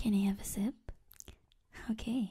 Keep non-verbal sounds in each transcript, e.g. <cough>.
Can I have a sip? Okay.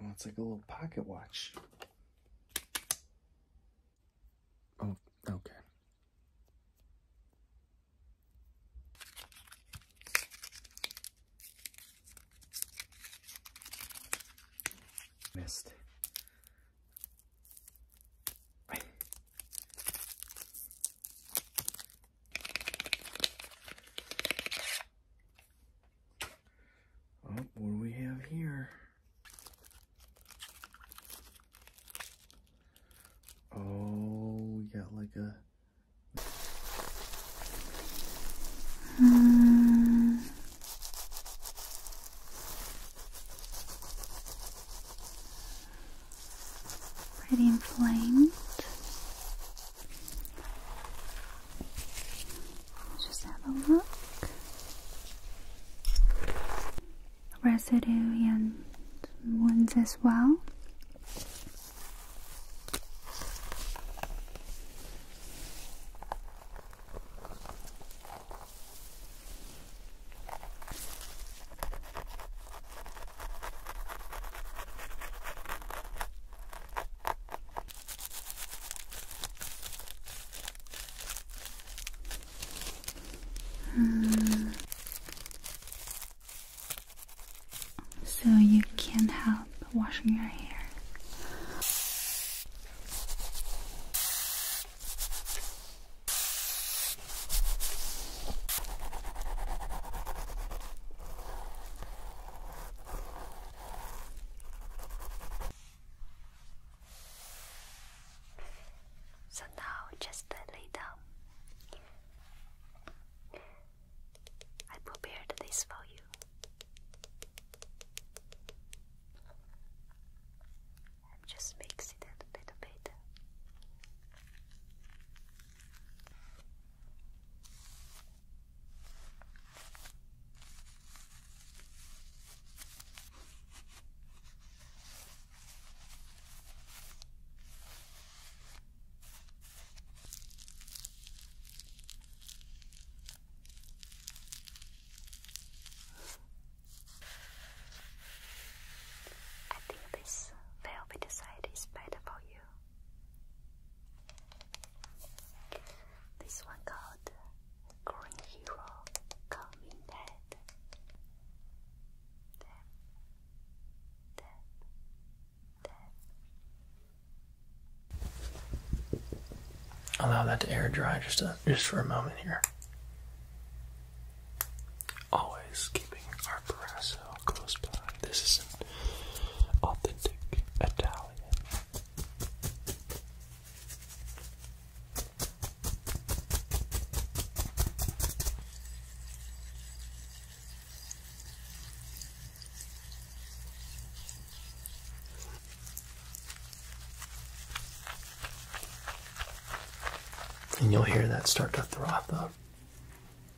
Oh, it's like a little pocket watch. Oh, okay. Missed. Oh, what do we have here? Oh, we got like a pretty inflamed. just have a look. Residue and wounds as well. Hmm. So you can't help washing your hair. So now just lay down. I prepared this for you. just mix it a little bit. I think this velvet side is better for you. This one called Green Hero Coming Dead. Dead. Allow that to air dry just, just for a moment here. Always our Barrasso close by. This is an authentic Italian. And you'll hear that start to throb up.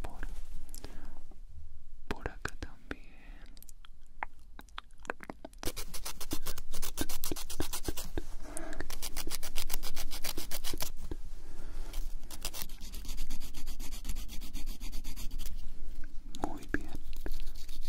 por, por acá también muy bien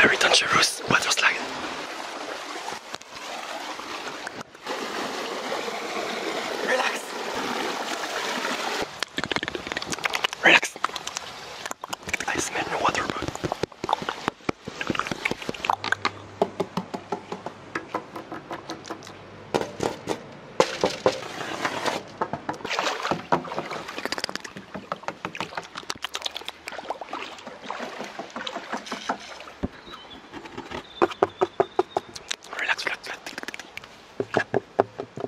Very dangerous water slide. Relax. Relax. I smell no water, but. Relax, relax, relax.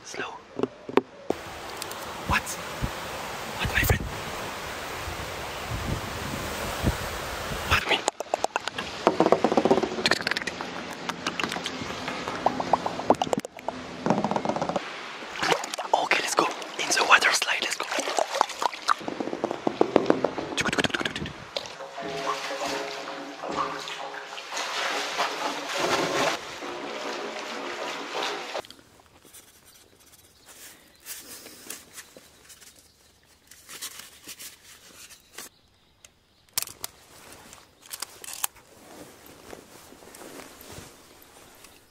Slow. What? What, my friend? Pardon me. Okay, let's go. In the water slide, let's go.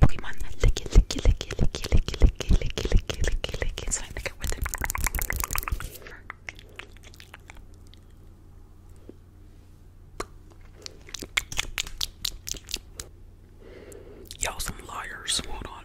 Pokemon, lick it, lick it, lick it, lick it, lick so I make it with it. you some liars, hold on.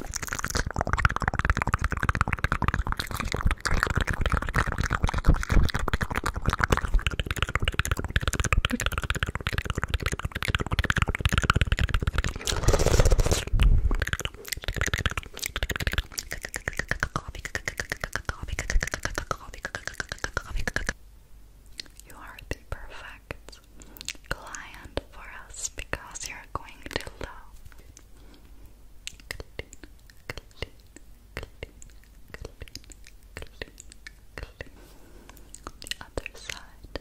You are the perfect client for us because you're going to love the other side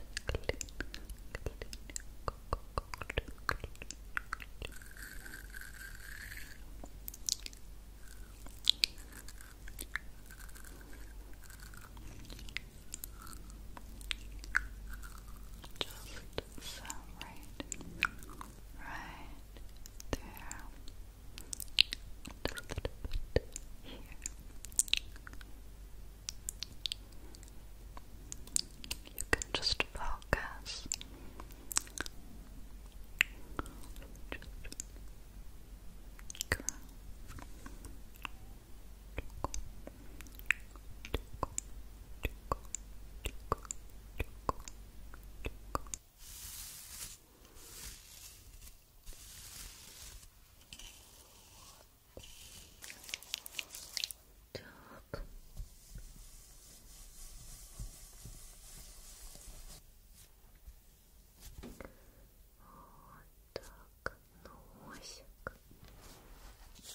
just some right right there, a little bit here. You can just focus. легко, легко. Так. Вот так, носик.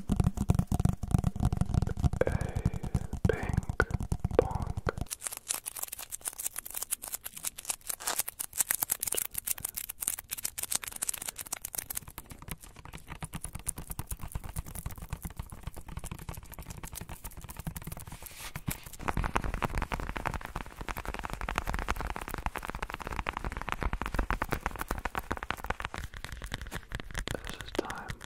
a pink pong. This is time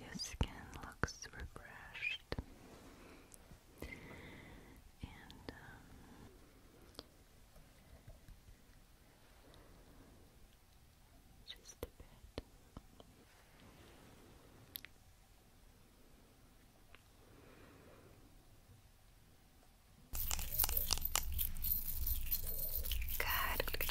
Your skin looks refreshed finished. And um, just a bit. good, good.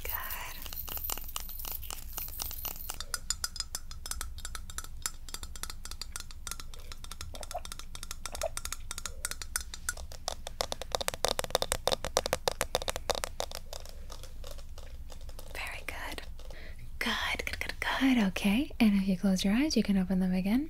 Very good. Good, good, good, good. Okay, and if you close your eyes, you can open them again.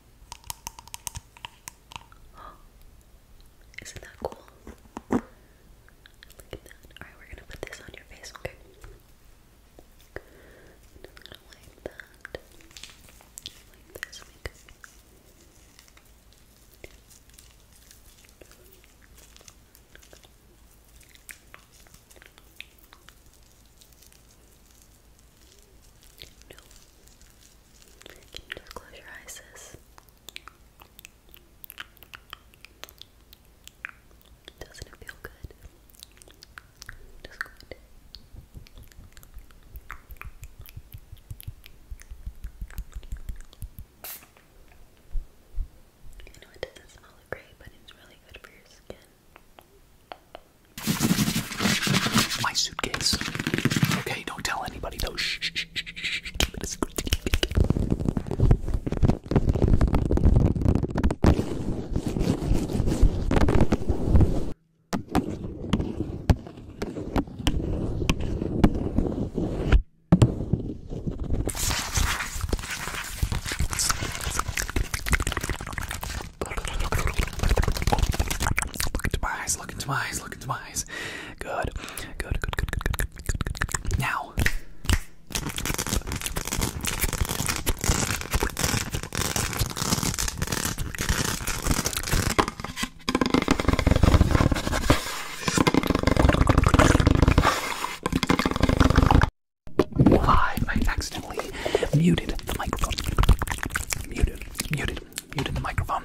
<gasps> isn't that cool? Look at that. Alright, we're gonna put this on your face, okay? just gonna wipe that. Wipe this makeup. Okay, just close your eyes, sis? Doesn't it feel good? Just good. I know it doesn't smell great, but it's really good for your skin. My suitcase. Okay, don't tell it. Look into my eyes. Look into my eyes. Look into my wise. Good. Good, good, good, good, good, good, good, good, good. Now. Live, I accidentally muted the microphone. Muted, muted, muted the microphone.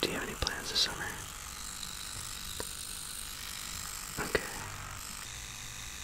Do you have any plans this summer? Okay.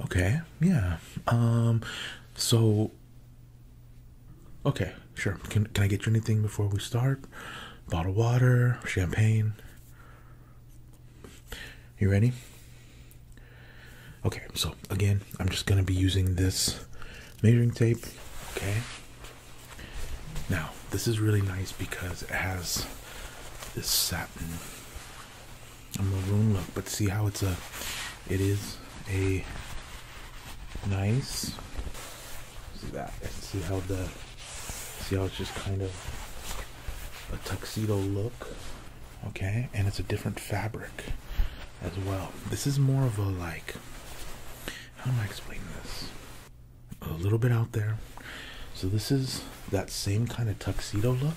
Okay, yeah. Um so Okay, sure. Can can I get you anything before we start? Bottled water, champagne. You ready? Okay, so again, I'm just going to be using this measuring tape. Okay. Now, this is really nice because it has this satin a maroon look, but see how it's a it is a nice see that see how the See how it's just kind of a tuxedo look, okay? And it's a different fabric as well. This is more of a like, how do I explain this? A little bit out there. So, this is that same kind of tuxedo look.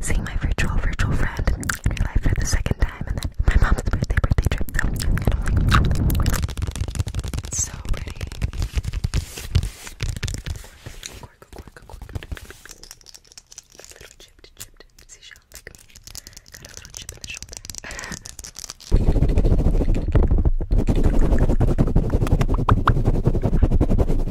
Seeing my virtual virtual friend in real life for the second time, and then my mom's birthday birthday trip. It's so pretty. Got a little chip in the shoulder. <laughs>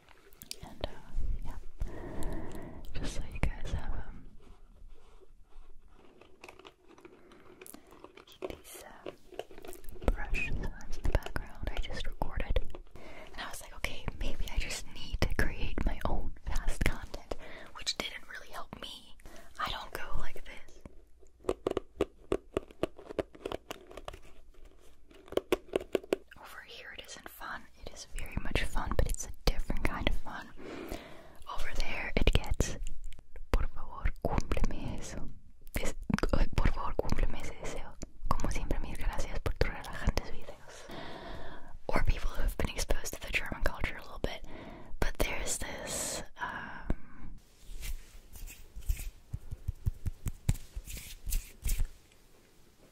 And uh, yeah, just so you guys have um, these uh, brush sounds in the background. I just recorded, and I was like, okay, maybe I just need to create my own past content, which didn't really help me. I don't go like this. Over here it isn't fun. It is very much fun, but it's a different kind of fun. Over there it gets Por favor, cúmpleme eso. por favor, cúmpleme ese deseo. Como siempre, mil gracias por tus relajantes videos. Or people who have been exposed to the German culture a little bit, but there's this. Um,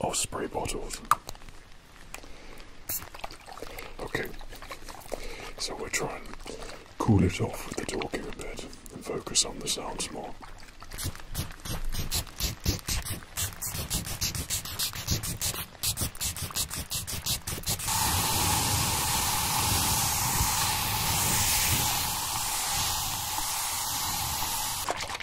of oh, spray bottles. Okay, so we'll try and cool it off with the talking a bit and focus on the sounds more.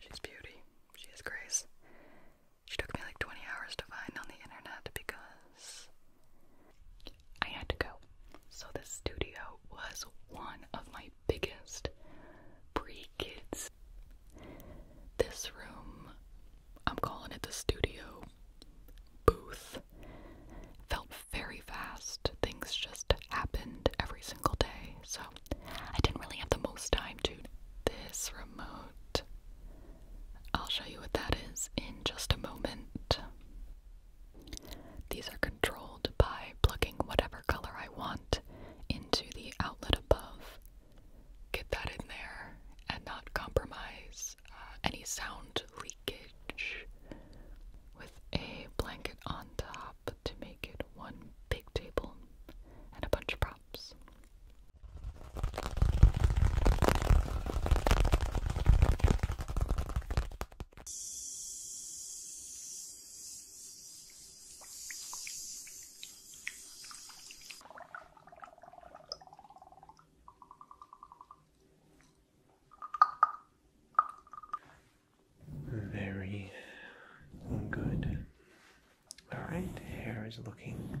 She's beauty. She's grace. She took me like 20 hours to find on the internet because I had to go. So, the studio was one of my biggest pre kids. This room, I'm calling it the studio booth, felt very fast. Things just happened every single day. So, I didn't really have the most time to. This remote I'll show you what that is in just a moment. These are controlled by plugging whatever color I want into the outlet above. Get that in there and not compromise uh, any sound leakage with a blanket on top to make it one big table and a bunch of crops. Very good. All right, hair is looking